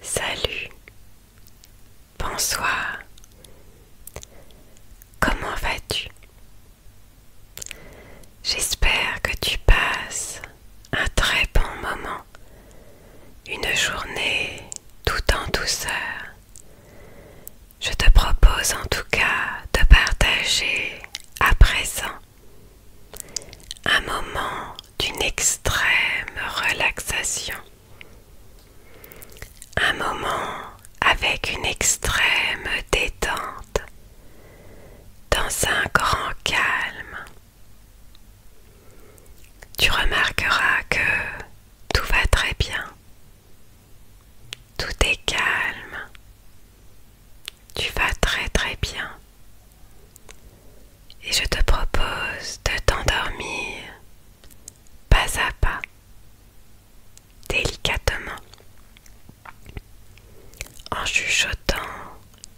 Salut, bonsoir, comment vas-tu J'espère que tu passes un très bon moment, une journée tout en douceur. Je te propose en tout cas de partager à présent un moment d'une extrême relaxation. Un moment avec une extrême détente, dans un grand calme. Tu remarqueras que tout va très bien. Tout est calme. Tu vas très très bien. Et je te propose de t'endormir pas à pas, délicatement, en chuchotant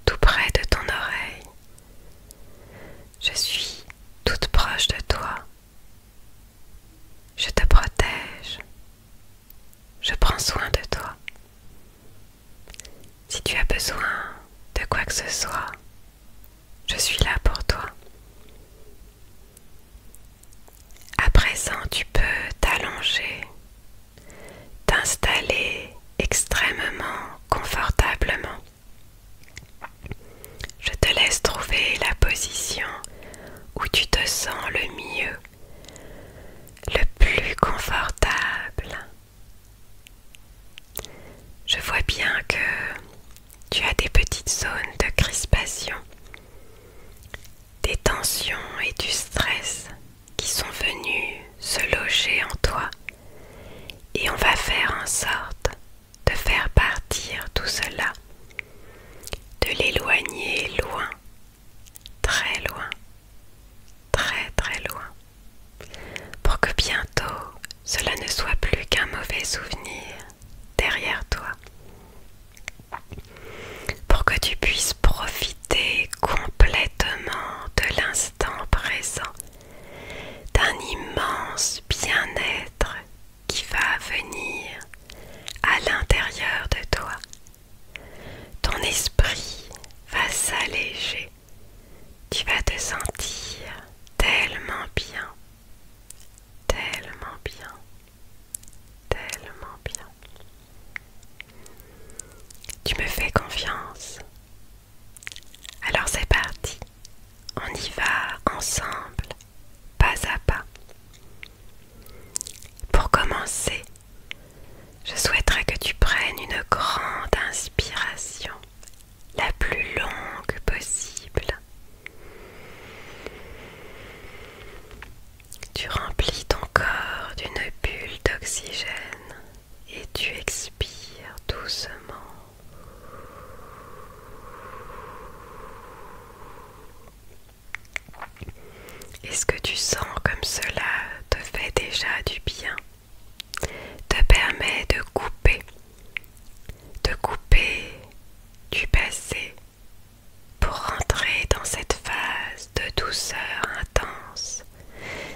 tout près de ton oreille. Je suis toute proche de toi. Je te protège. Je prends soin de toi. Si tu as besoin de quoi que ce soit, je suis là pour toi. À présent, tu peux t'allonger, t'installer extrêmement confortablement. Je te laisse trouver la position où tu te sens le mieux, le plus confortable je vois bien que tu as des petites zones de crispation, des tensions et du stress qui sont venus se loger en toi et on va faire en sorte de faire partir tout cela, de l'éloigner loin, très loin, très très loin pour que bientôt cela ne soit plus qu'un mauvais souvenir derrière toi, pour que tu puisses profiter complètement de l'instant présent, d'un immense bien-être qui va venir à l'intérieur de toi. Ton esprit va s'alléger tu vas te sentir tellement bien, tellement bien, tellement bien. Tu me fais confiance. Alors c'est parti. On y va ensemble, pas à pas. Pour commencer, je souhaiterais que tu prennes une grande inspiration la plus longue possible. Tu remplis ton corps d'une bulle d'oxygène et tu expires doucement. Est-ce que tu sens comme cela te fait déjà du bien te permet de couper, de couper du passé pour rentrer dans cette phase de douceur intense,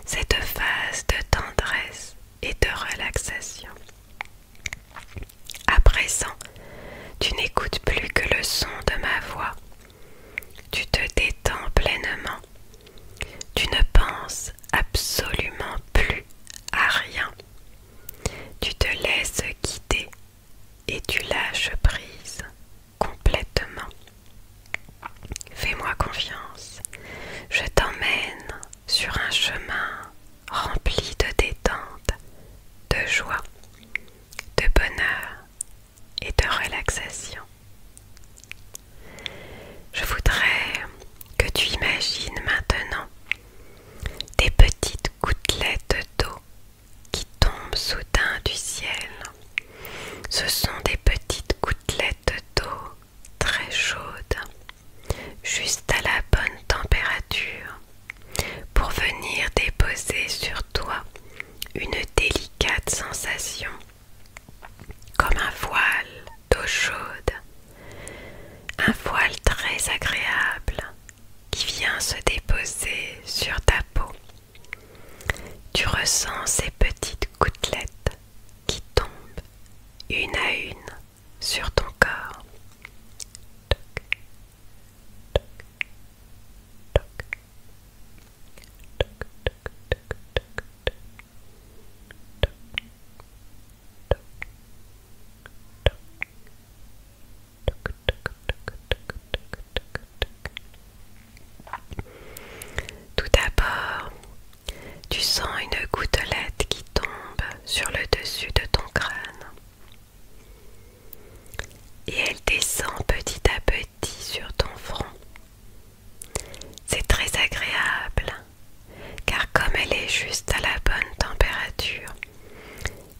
cette phase de tendresse et de relaxation. À présent, tu n'écoutes plus que le son de ma voix. Tu te détends pleinement tu ne penses absolument plus à rien. Tu te laisses guider et tu lâches prise complètement. Fais-moi confiance. Je t'emmène sur un chemin rempli de détente, de joie, de bonheur et de relaxation. Je voudrais que tu imagines maintenant des petites gouttelettes d'eau qui tombent soudain du ciel. Ce sont des petites gouttelettes d'eau très chaudes, juste à la bonne température, pour venir déposer sur toi une délicate sensation, comme un voile d'eau chaude, un voile très agréable qui vient se déposer sur ta peau. Tu ressens ces petites gouttelettes qui tombent une à une sur ton corps. Tout d'abord, tu sens une gouttelette qui tombe sur le dessus de ton crâne. Et elle descend petit à petit sur ton front, c'est très agréable car comme elle est juste à la bonne température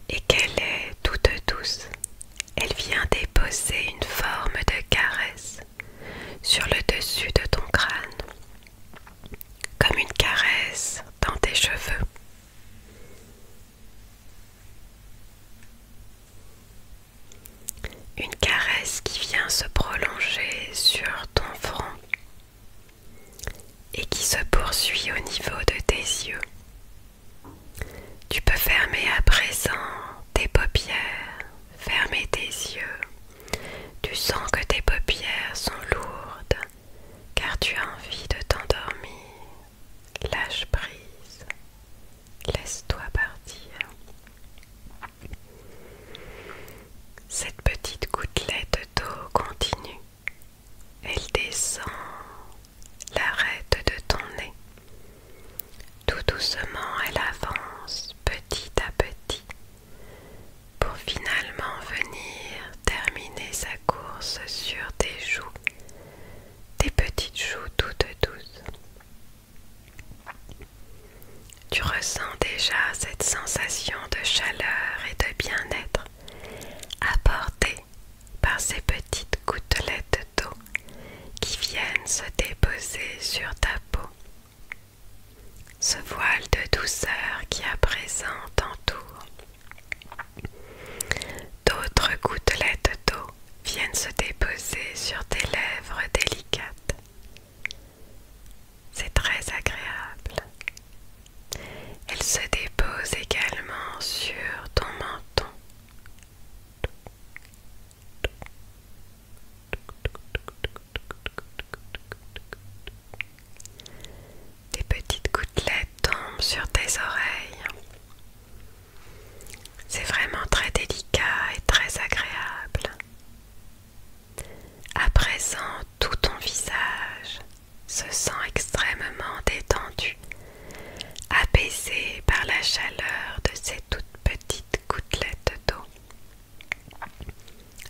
et qu'elle est toute douce, elle vient déposer une forme de caresse sur le dessus de ton crâne, comme une caresse dans tes cheveux. Une caresse qui vient se prolonger sur ton front et qui se poursuit au niveau de tes yeux. Tu peux fermer à présent tes paupières, fermer tes yeux. Tu sens que tes paupières sont lourdes car tu as envie de t'endormir. Lâche prise, laisse-toi partir. Cette petite gouttelette d'eau continue. Elle descend l'arrête de ton nez. Tout doucement, elle avance petit à petit pour finalement venir terminer sa course sur tes joues, des petites joues toutes douces. Tu ressens déjà cette sensation de chaleur et de bien-être apportée par ces petites gouttelettes d'eau qui viennent se déposer sur ta peau. Ce voile de douceur qui à présent t'entoure. D'autres gouttelettes d'eau viennent se déposer sur tes lèvres délicates. C'est très agréable. Elle se dépose également sur ton menton. Des petites gouttelettes tombent sur tes oreilles. C'est vraiment très délicat et très agréable. À présent, tout ton visage se sent extrêmement détendu, apaisé par la chaleur de ces toutes petites gouttelettes d'eau.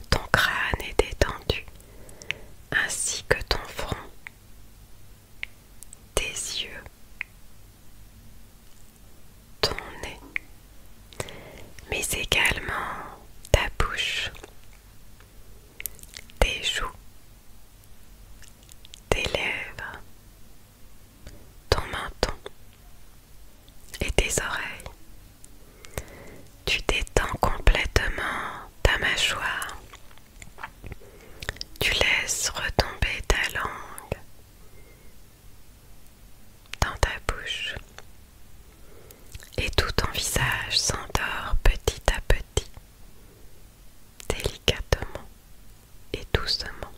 Ton crâne est détendu, ainsi que ton front, tes yeux, ton nez mais également ta bouche, tes joues, tes lèvres, ton menton et tes oreilles. Tu détends complètement ta mâchoire. Tu laisses retomber ta langue dans ta bouche. Et tout ton visage s'endort petit à petit, délicatement et doucement.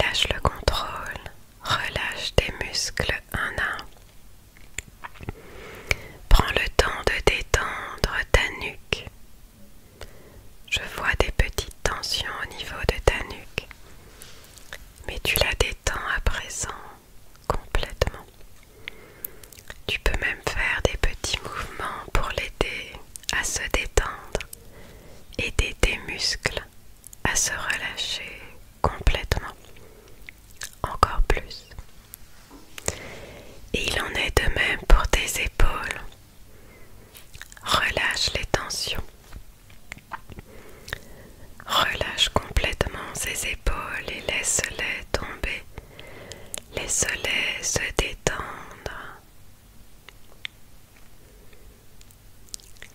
Lâche le contrôle, relâche tes muscles un à un. Prends le temps de détendre ta nuque. Je vois des petites tensions au niveau de ta nuque mais tu la détends à présent complètement. Tu peux même faire des petits mouvements pour l'aider à se détendre, aider tes muscles à se relâcher complètement, encore plus. Et il en est de même pour tes épaules. Relâche les tensions. Relâche complètement ses épaules et laisse-les tomber. Laisse-les se détendre.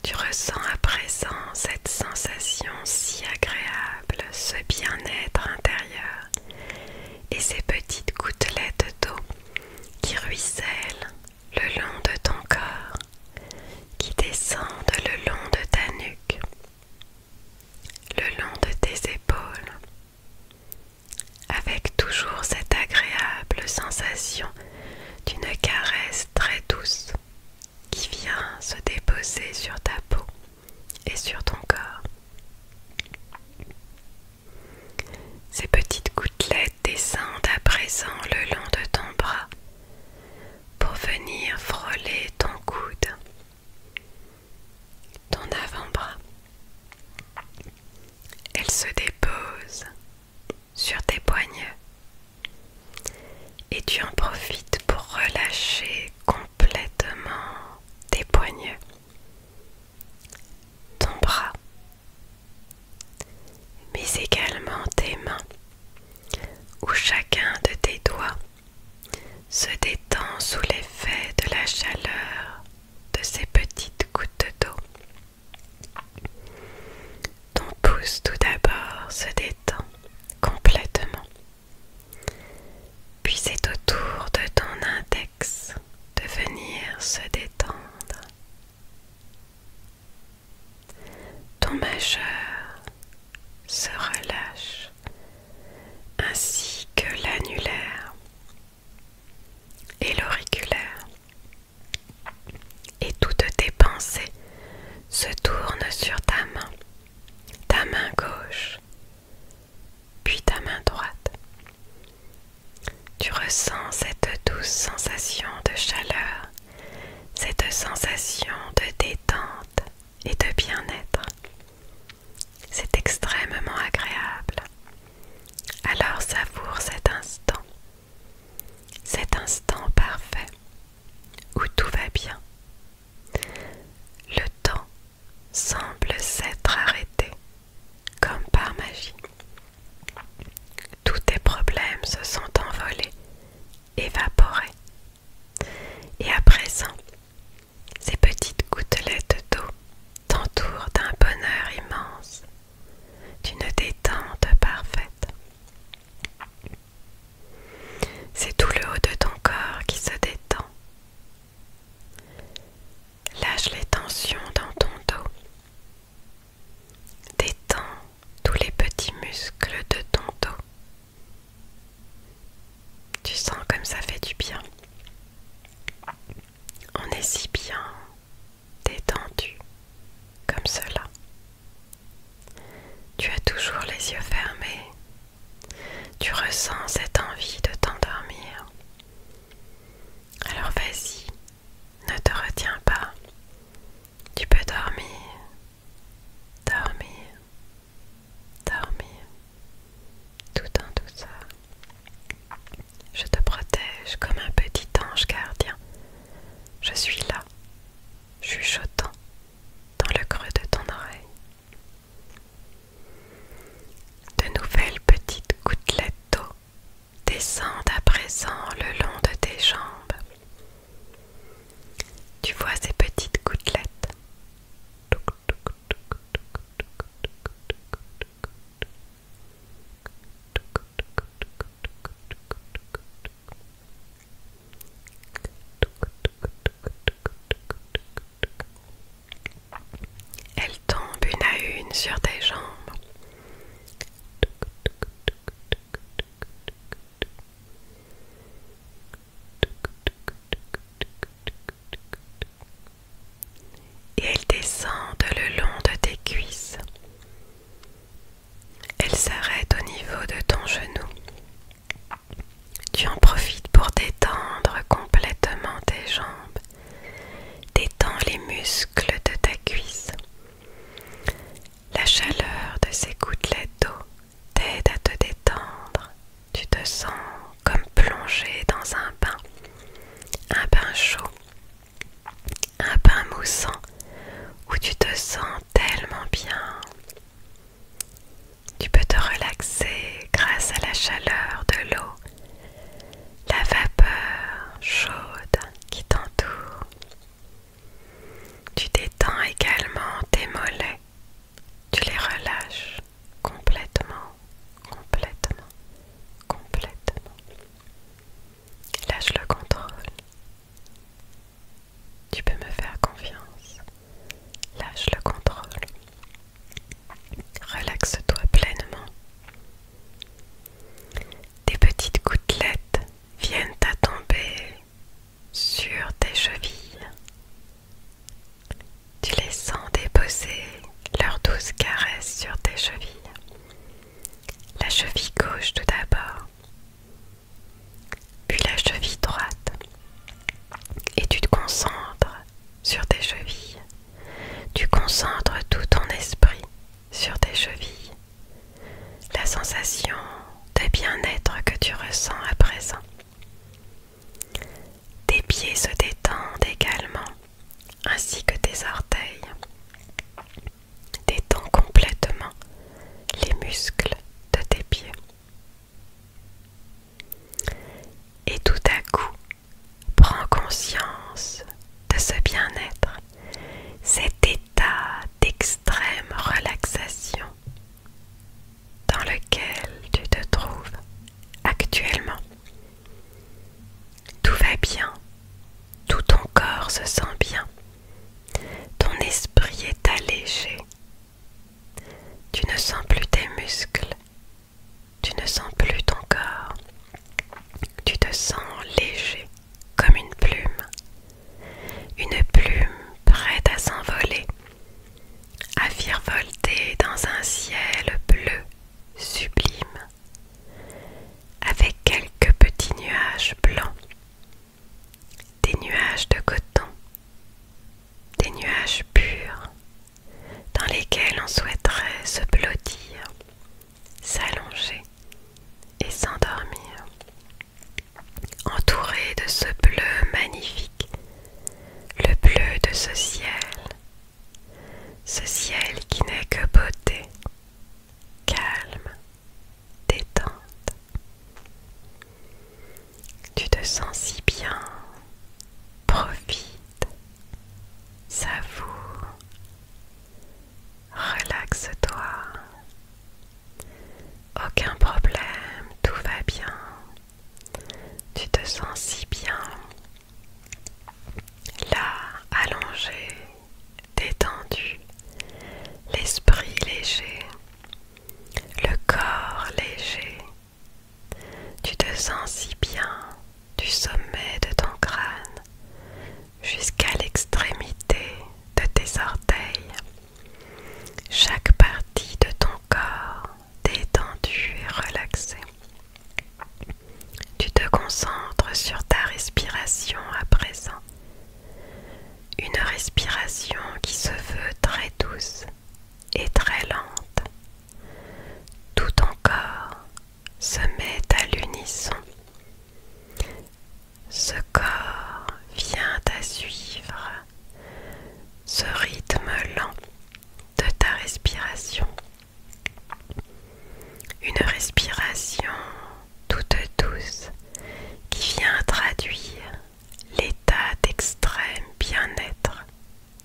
Tu ressens à présent cette sensation si agréable, ce bien-être intérieur et ces petites gouttelettes d'eau qui ruissellent le long de ton corps qui descendent le long de ta nuque, le long de tes épaules, avec toujours cette agréable sensation d'une caresse très douce qui vient se déposer sur ta peau et sur ton corps. Ces petites gouttelettes Descends à présent le long de ton bras pour venir frôler ton coude, ton avant-bras. Elle se dépose sur tes poignets et tu en profites pour relâcher complètement tes poignets, ton bras mais également tes mains, où chacun de tes doigts se détend sous l'effet de la chaleur de ces petites gouttes d'eau. Ton pouce tout d'abord se détend complètement, puis c'est au tour de ton index de venir se détendre. Ton majeur se relâche ainsi que l'annulaire et l'auriculaire et toutes tes pensées se tournent sur ta main, ta main gauche, puis ta main droite. Tu ressens cette douce sensation de chaleur cette sensation de détente et de bien-être. C'est extrêmement agréable. Alors savoure cet instant, cet instant parfait où tout va bien. Le temps semble s'être arrêté comme par magie. Tous tes problèmes se sont envolés, évaporés. Et à présent, ces petites gouttelettes d'eau t'entourent d'un bonheur immense, d'une détente parfaite. C'est tout le haut de ton corps qui se détend. Lâche les tensions dans ton dos. Détends tous les petits muscles de ton dos. Tu sens comme ça fait du bien. On est si bien détendu comme cela. Tu as toujours les yeux fermés. Tu ressens cette envie de t'endormir. Alors vas-y, ne te retiens pas. Tu peux dormir, dormir, dormir, tout en ça. Je te protège comme un petit ange gardien. Je suis là, chuchotant dans le creux de ton oreille. De nouvelles petites gouttelettes d'eau descend à présent le long de tes jambes. Tu vois ces petites gouttelettes. Elles tombent une à une sur tes jambes. Et elles descendent le long de tes cuisses. Elles s'arrêtent au niveau de ton genou. Tu en profites pour détendre complètement tes jambes. Détends les muscles de ta cuisse. La chaleur de ces gouttelettes d'eau t'aide à te détendre. Tu te sens comme plongé dans un bain. Un bain chaud. Un bain moussant où tu te sens tellement bien. Tu peux te relaxer grâce à la chaleur de l'eau, la vapeur chaude qui t'entoure. Tu détends également tes mollets. Tu les relâches complètement, complètement, complètement. Lâche le contrôle. Tu peux me faire confiance. Lâche le contrôle. Relaxe-toi pleinement. Des petites gouttelettes viennent à tomber sur tes chevilles. Tu les sens déposer leurs douces caresses sur tes chevilles. La cheville gauche tout d'abord, puis la cheville droite. Et tu te concentres sur tes chevilles. Tu concentres tout ton esprit sur tes chevilles, la sensation de bien-être que tu ressens à présent. Tes pieds se détendent également, ainsi que tes orteils. Détends complètement les muscles de tes pieds. Et tout à coup, prends conscience de ce bien-être cet état d'extrême relaxation dans lequel tu te trouves actuellement. Tout va bien, tout ton corps se sent bien, ton esprit est allégé, tu ne sens plus tes muscles, tu ne sens plus ton corps, tu te sens léger, comme une plume, une plume prête à s'envoler, à virevolter dans un ciel bleu sublime, avec quelques petits nuages blancs, des nuages de coton, des nuages purs, dans lesquels on souhaiterait se blottir, s'allonger, et s'endormir Entouré de ce bleu magnifique, le bleu de ce ciel, ce ciel qui n'est que beauté, calme, détente. Tu te sens si bien, profite, savoure, relaxe-toi, aucun problème, tout va bien. Tu te sens si bien. Là, allongé, détendu, l'esprit léger, le corps léger. Tu te sens si bien du sommet de ton crâne jusqu'à l'extrémité de tes orteils. Chaque partie de ton corps détendue et relaxée. Tu te concentres sur ta respiration à présent. Une respiration qui se veut très douce et très lente. Tout ton corps se met à l'unisson ce corps vient à suivre ce rythme lent de ta respiration. Une respiration toute douce qui vient traduire l'état d'extrême bien-être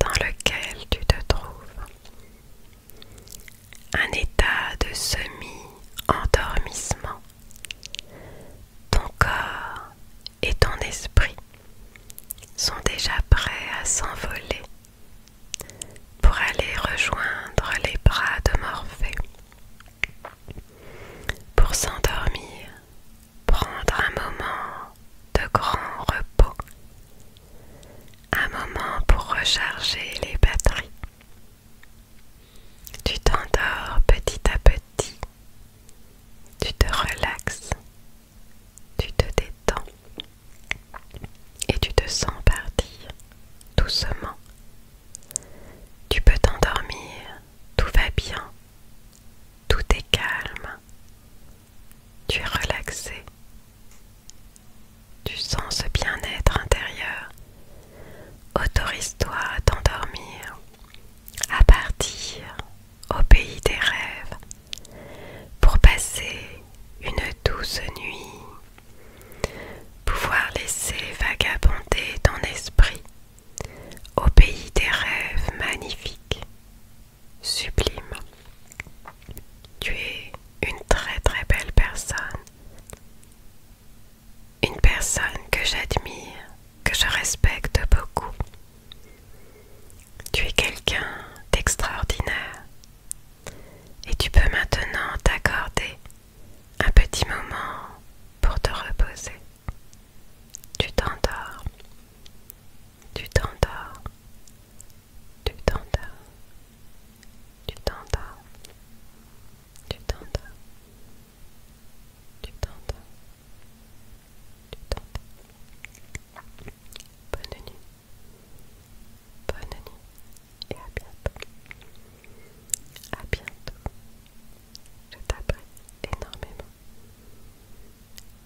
dans lequel tu te trouves. Un état de semi-endormissement ton corps et ton esprit sont déjà prêts à s'envoler pour aller rejoindre les bras de Morphée. Pour s'endormir, prendre un moment de grand repos, un moment pour recharger les batteries. Tu t'endors petit à petit, tu te relaxes, tu te détends et tu te sens partir doucement. Tu peux t'endormir, tout va bien, tout est calme, tu es relaxé, tu sens ce bien-être intérieur Autorise-toi à t'endormir, à partir au pays des rêves, pour passer une douce nuit, pouvoir laisser vagabonder ton esprit au pays des rêves magnifiques, sublimes. Tu es une très très belle personne une personne que j'admire, que je respecte beaucoup. Tu es quelqu'un d'extraordinaire et tu peux maintenant t'accorder un petit moment pour te reposer. Tu t'endors, tu t'endors, tu t'endors, tu t'endors, tu t'endors. Tu t'entends Tu t'entends Bonne nuit Bonne nuit et à bientôt À bientôt Je t'apprécie énormément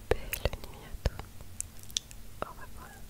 Belle nuit à toi Au revoir